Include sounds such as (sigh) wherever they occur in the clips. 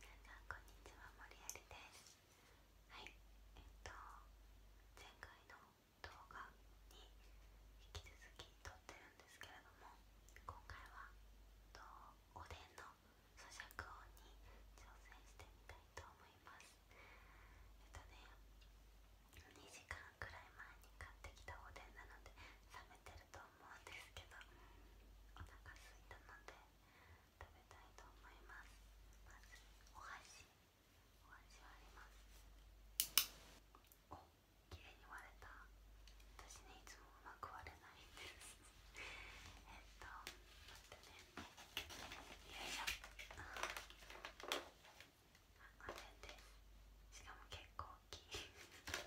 皆さんこんにちは、森有です。はい、えっと前回の動画に引き続き撮ってるんですけれども、今回はとおでんの咀嚼音に挑戦してみたいと思います。えっとね、2時間くらい前に買ってきたおでんなので冷めてると思うんですけど、お腹すいたので。食べたいと思いますまずお箸お箸はあります綺麗に割れた私ねいつもうまく割れないんですえっと待ってねよいしょあれでしかも結構大きいちょっと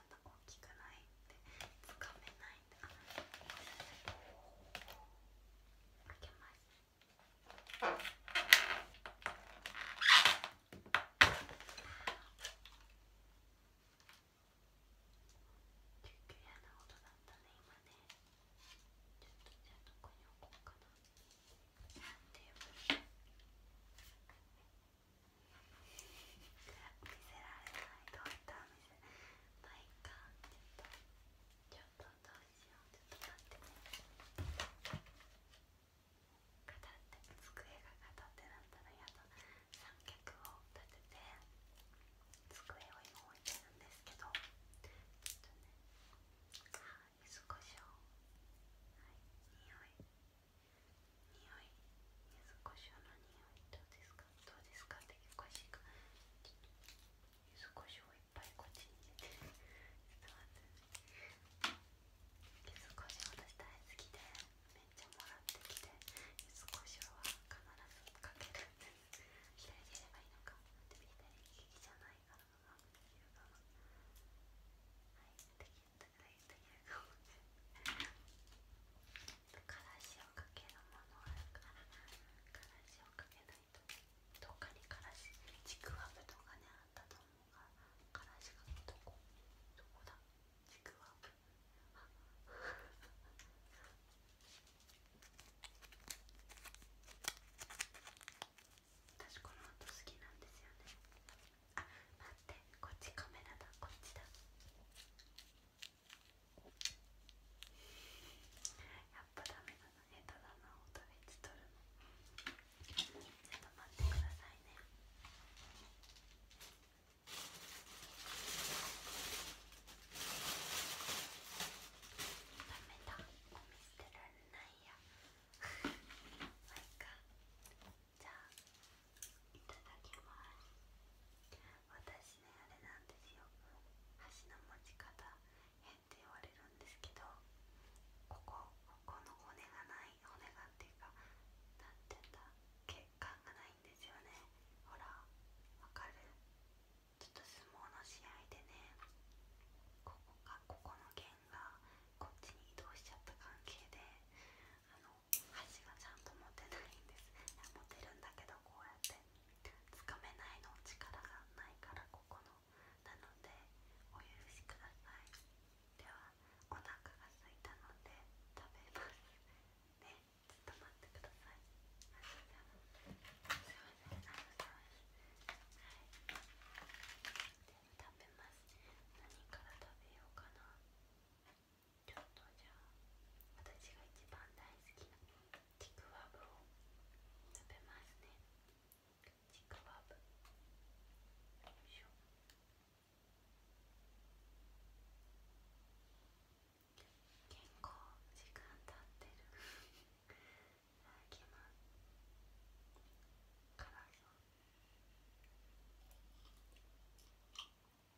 そんな大きくないってつかめないんであ開けますちょと嫌な音だったね今ねちょっとじゃあどこに置こうかなテーブル見せられないどういったお店ないかちょっとちょっとどうしようちょっと待ってね語って机が片手だったらやっと三脚を立てて机を今置いてるんですけどちょっとねはい少しをはい匂い。匂い柚子胡椒の匂いどうですかどうですかっておかしいか柚子胡椒をいっぱいこっちに入れてちょっと待って柚子胡椒私大好きでめっちゃもらってきて柚子胡椒は必ずかける左でやればいいのかでも左利きじゃないからできるかなったをかけるものあるからからをかけないとどっかにからちくわぶとかねあったと思うがからがどこどこだちくわぶ私この音好きなんですよねあ待ってこっちカメラだこっちだやっぱダメだな下手だな音ベ取るのちょっと待ってくださいねダメだゴミ捨てられないやまいかじゃあいただきます私ねあれなんですよ橋の持ち方へって言われるんですけどここここの骨がない骨がっていうかなんて言うんだ血管がないんですよねほらわかるちょっと相撲の試合でねここかここの弦がこっちに移動しちゃった関係で箸がちゃんと持てないんですいや持てるんだけどこうやってつかめないの力がないからここのなのでお許しくださいではお腹がすいたので食べますねちょっと待ってくださいすいませんありいはい食べます何から食べようかな。ちょっとじゃあ私が一番大好きなちクワブを食べますねちクワブ。よいしょ結構時間経ってるいただきます辛そう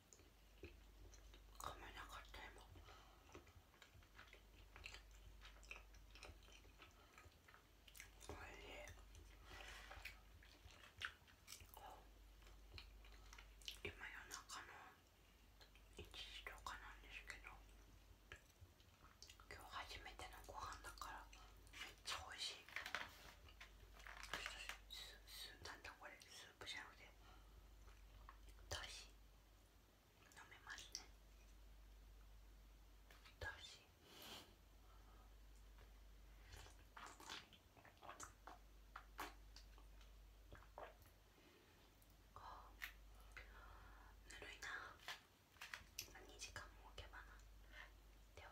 噛めなかった今おいし今夜中の1時とかなんですけど今日初めてのご飯だからめっちゃおいしい。スーなんだこれスープじゃなくてだし飲めますねだしぬるいな2時間も置けばなでは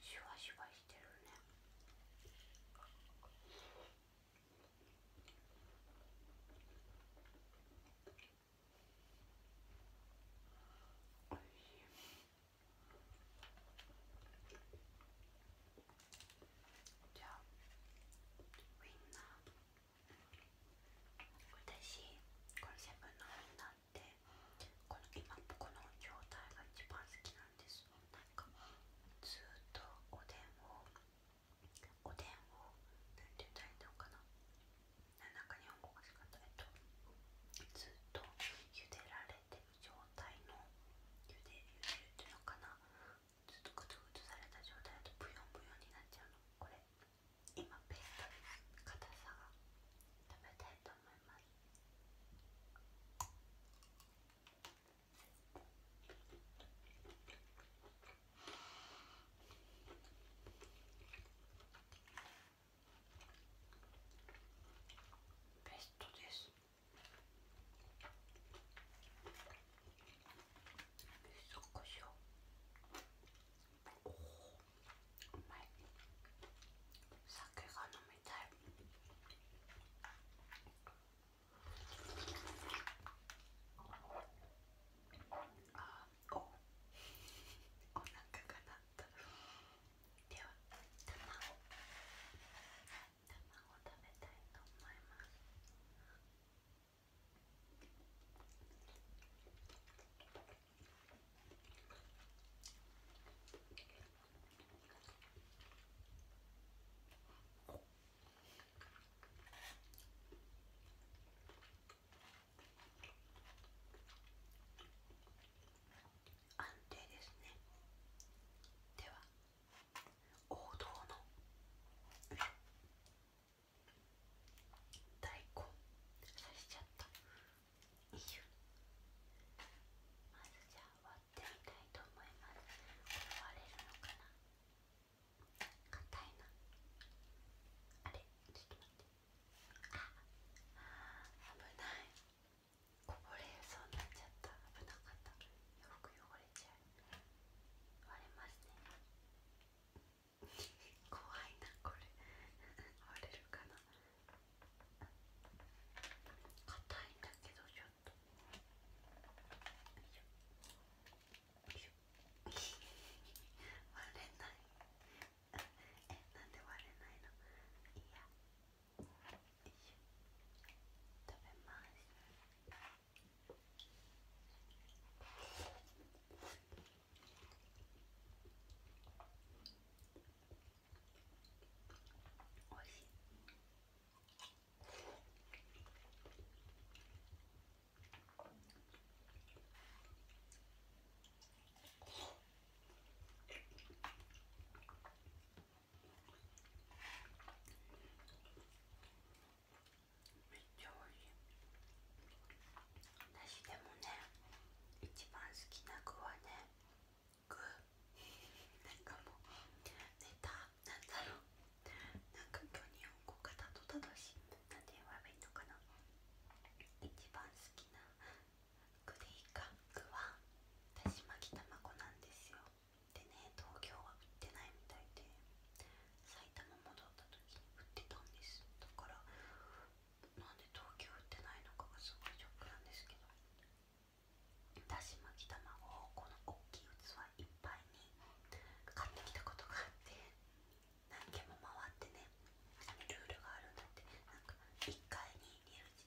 シュワシュワしてるね。じゃあウインナー私このセブンのウインナーってこの今この状態が一番好きなんですなんかずっとおでんをおでんを何て言ったらいいのかな中んか日本語がしかったえっとずっと茹でられてる状態の茹で茹でるっていうのかなずっとグツグツされた状態だとブヨンブヨンになっちゃうのこれ今ペーストの硬さが食べたいと思いますうんベストですそこしおお酒が飲みたいあおお腹が鳴ったでは卵卵食べたいと思います安定ですねでは王道の大根刺しちゃったまずじゃあ割ってみたいと思いますこ割れるのかな硬いなあれちょっと待って危ないこぼれそうになっちゃった危なかったよく汚れちゃう割れますね怖いなこれ割れるかな硬いんだけどちょっとよいしょよいしょ割れないえなんで割れないのいやいし食べますおいしいめっちゃおいしい私でもね一番好きな具はね具なんかもうネタなんだろうなんか今日日本語がたどしいなんて言えばいのかな一番好きグな具カッいはだし巻き卵なんですよでね東京は売ってないみたいで埼玉戻った時に売ってたんですだからなんで東京売ってないのかがすごいショックなんですけどだし巻き卵をこの大きい器いっぱいに買ってきたことがあって何軒も回ってねルールがあるんだってなんか1回に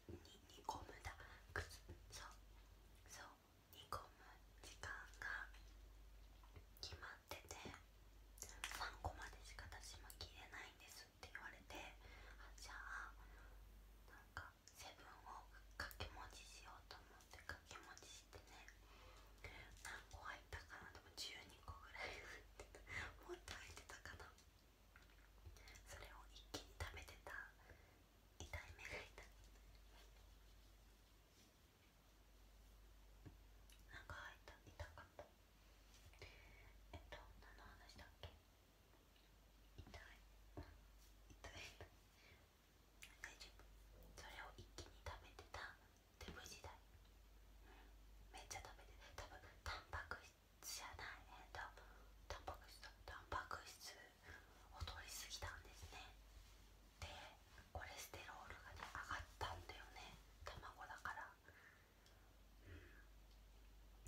2, 2, 2個無駄靴そそう2個無時間が決まってて3個までしか私も切れないんですって言われてあじゃあなセブンを掛け持ちしようと思って掛け持ちしてね何個入ったかなでも個ぐらい入ってたもっと入ってたかなそれを一気に食べてた痛い目がいたなんか入った痛かったえっと何の話だっけ痛い痛い大丈夫それを一気に食べてた手ぶ時代めっちゃ食べてたぶんタンパク質じゃないえっとタンパク質タンパク質を取りすぎたんですねでコレステロールがね上がったんだよね卵だからうん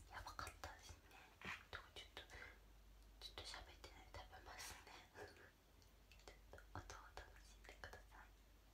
やばかったですねちょっとちょっと喋ってない食べますねちょっと音を楽しんでください。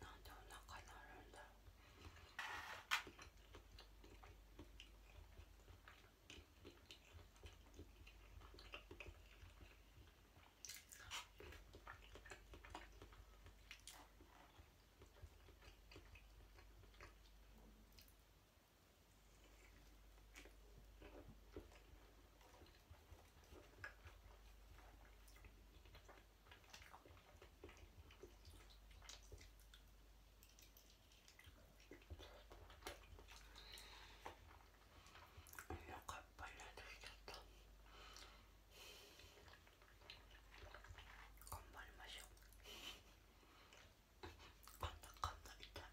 なんでお腹になるんだろうお腹いっぱいになってきちゃった頑張りましょう (laughs) こんなこんな痛い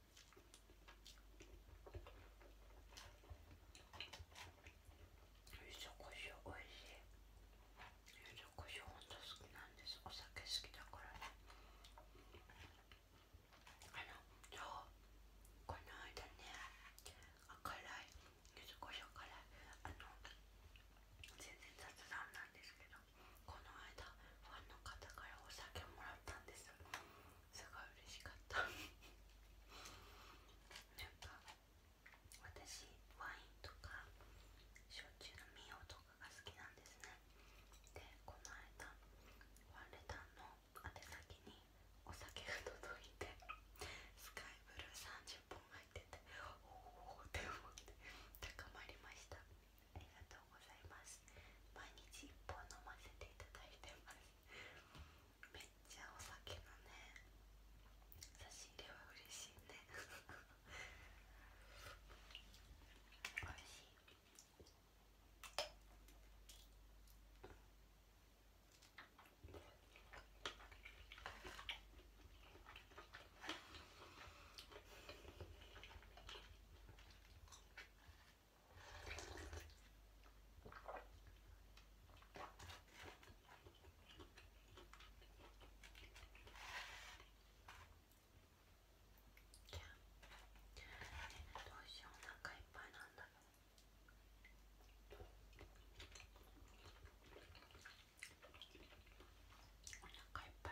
ゆずこしょうおいしいゆずこしょうほんと好きなんですお酒好きだからねあのそうこの間ね辛いゆずこしょう辛いあの全然雑談なんですけどこの間ファンの方からお酒もらったんですすごい嬉しかったなんか私ワインとか焼酎のミオとかが好きなんですねでこの間ワンレタンの宛先にお酒が届いてスカイブルー30本入ってておおって思って高まりましたありがとうございます毎日1本飲ませていただいてますめっちゃお酒のね差し入れは嬉しいね (laughs) 美味しいおどうしようお腹いっぱいなんだよお腹いっぱい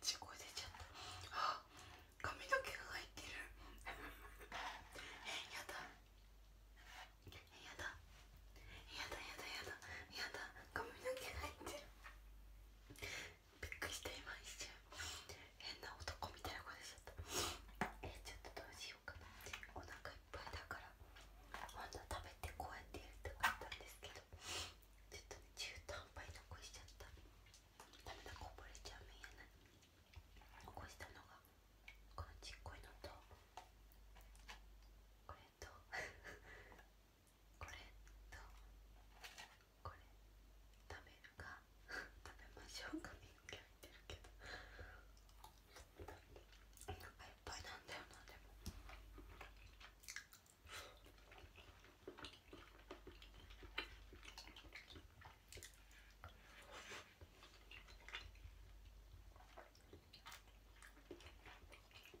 ちこ出ちゃったあ髪の毛が入ってるえやだえやだやだやだやだやだ髪の毛入ってるびっくりしていまし瞬変な男みたいな声しちゃったえちょっとどうしようかなお腹いっぱいだからほんと食べてこうやってやりたかったんですけどちょっと中途半端に残しちゃったダメだこぼれちゃう見えない残したのがこのちっこいのとこれと (laughs) これとこれ食べるか食べましょうかみんな入ってるけどお腹いっぱいなんだよなでも。うん。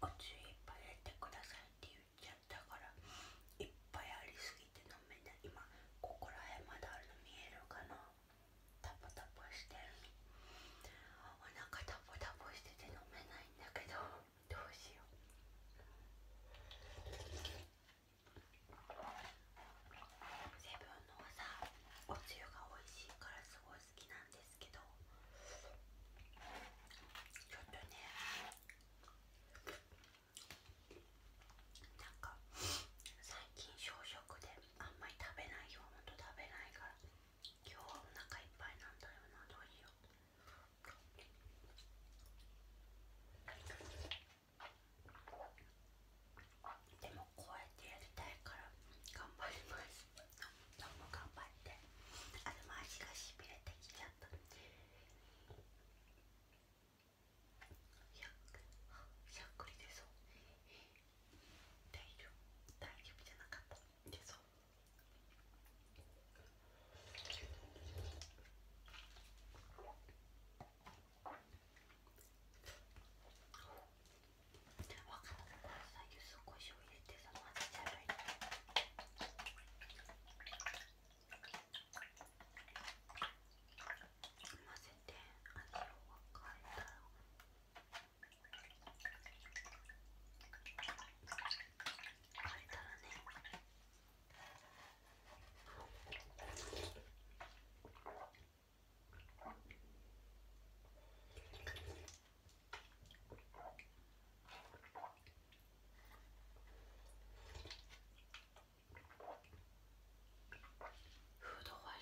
おつゆいっぱい入れてくださいって言っちゃったからいっぱいありすぎて飲めない今ここら辺まだあるの見えるかなタポタポしてるお腹タポタポしてて飲めないんだけどどうしようセブンのはおつゆが美味しいからすごい好きなんですけどちょっとねなんか最近少食であんまり食べないよほんと食べないから今日はお腹いっぱいなんだよなどうしようでもこうやってやりたいから頑張りますどうも頑張ってあでも足がしびれてきちゃったしゃっくり出そう大丈夫大丈夫じゃなかった出そうわかったからさゆずこしょう入れてさ混ぜちゃえばいいの混ぜて味を分かれたら分かれたらねフードファイ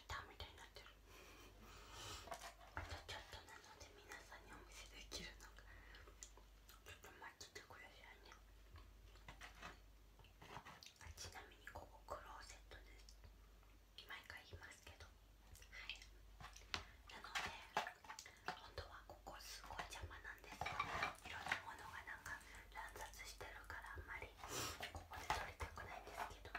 タみたいになってるちょっとなので皆さんにお見せできるのかちょっと待っててくださいねちなみにここクローゼットです毎回言いますけどなので本当はここすごい邪魔なんですいろんなものがなんか乱雑してるからあんまりここで撮りたくないんですけど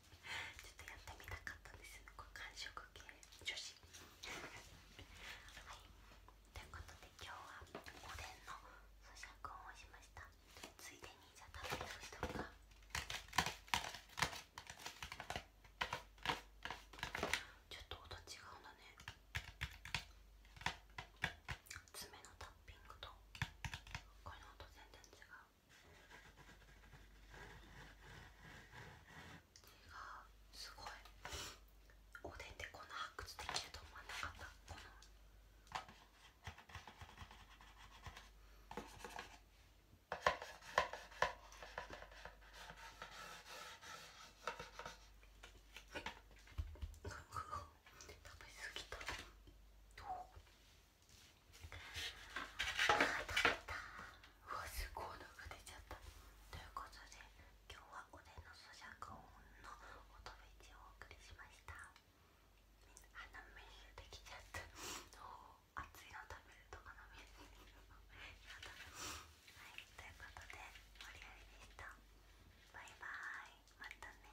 ちょっとやってみたかったんですよ、完食系女子はい、ということで今日はおでんの咀嚼音をしましたついでにじゃあ食べましょうかちょっと音違うんだね爪のタッピングとこの音全然違うすごいおでんでこんな発掘できると思わなかったこの食べ過ぎたどううわすっごいのが出ちゃったということで今日はおでんの咀嚼音の音フェをお送りしました鼻メニューできちゃった熱いの食べると鼻メニューやだはいということで盛り上がりでしたバイバーイまたね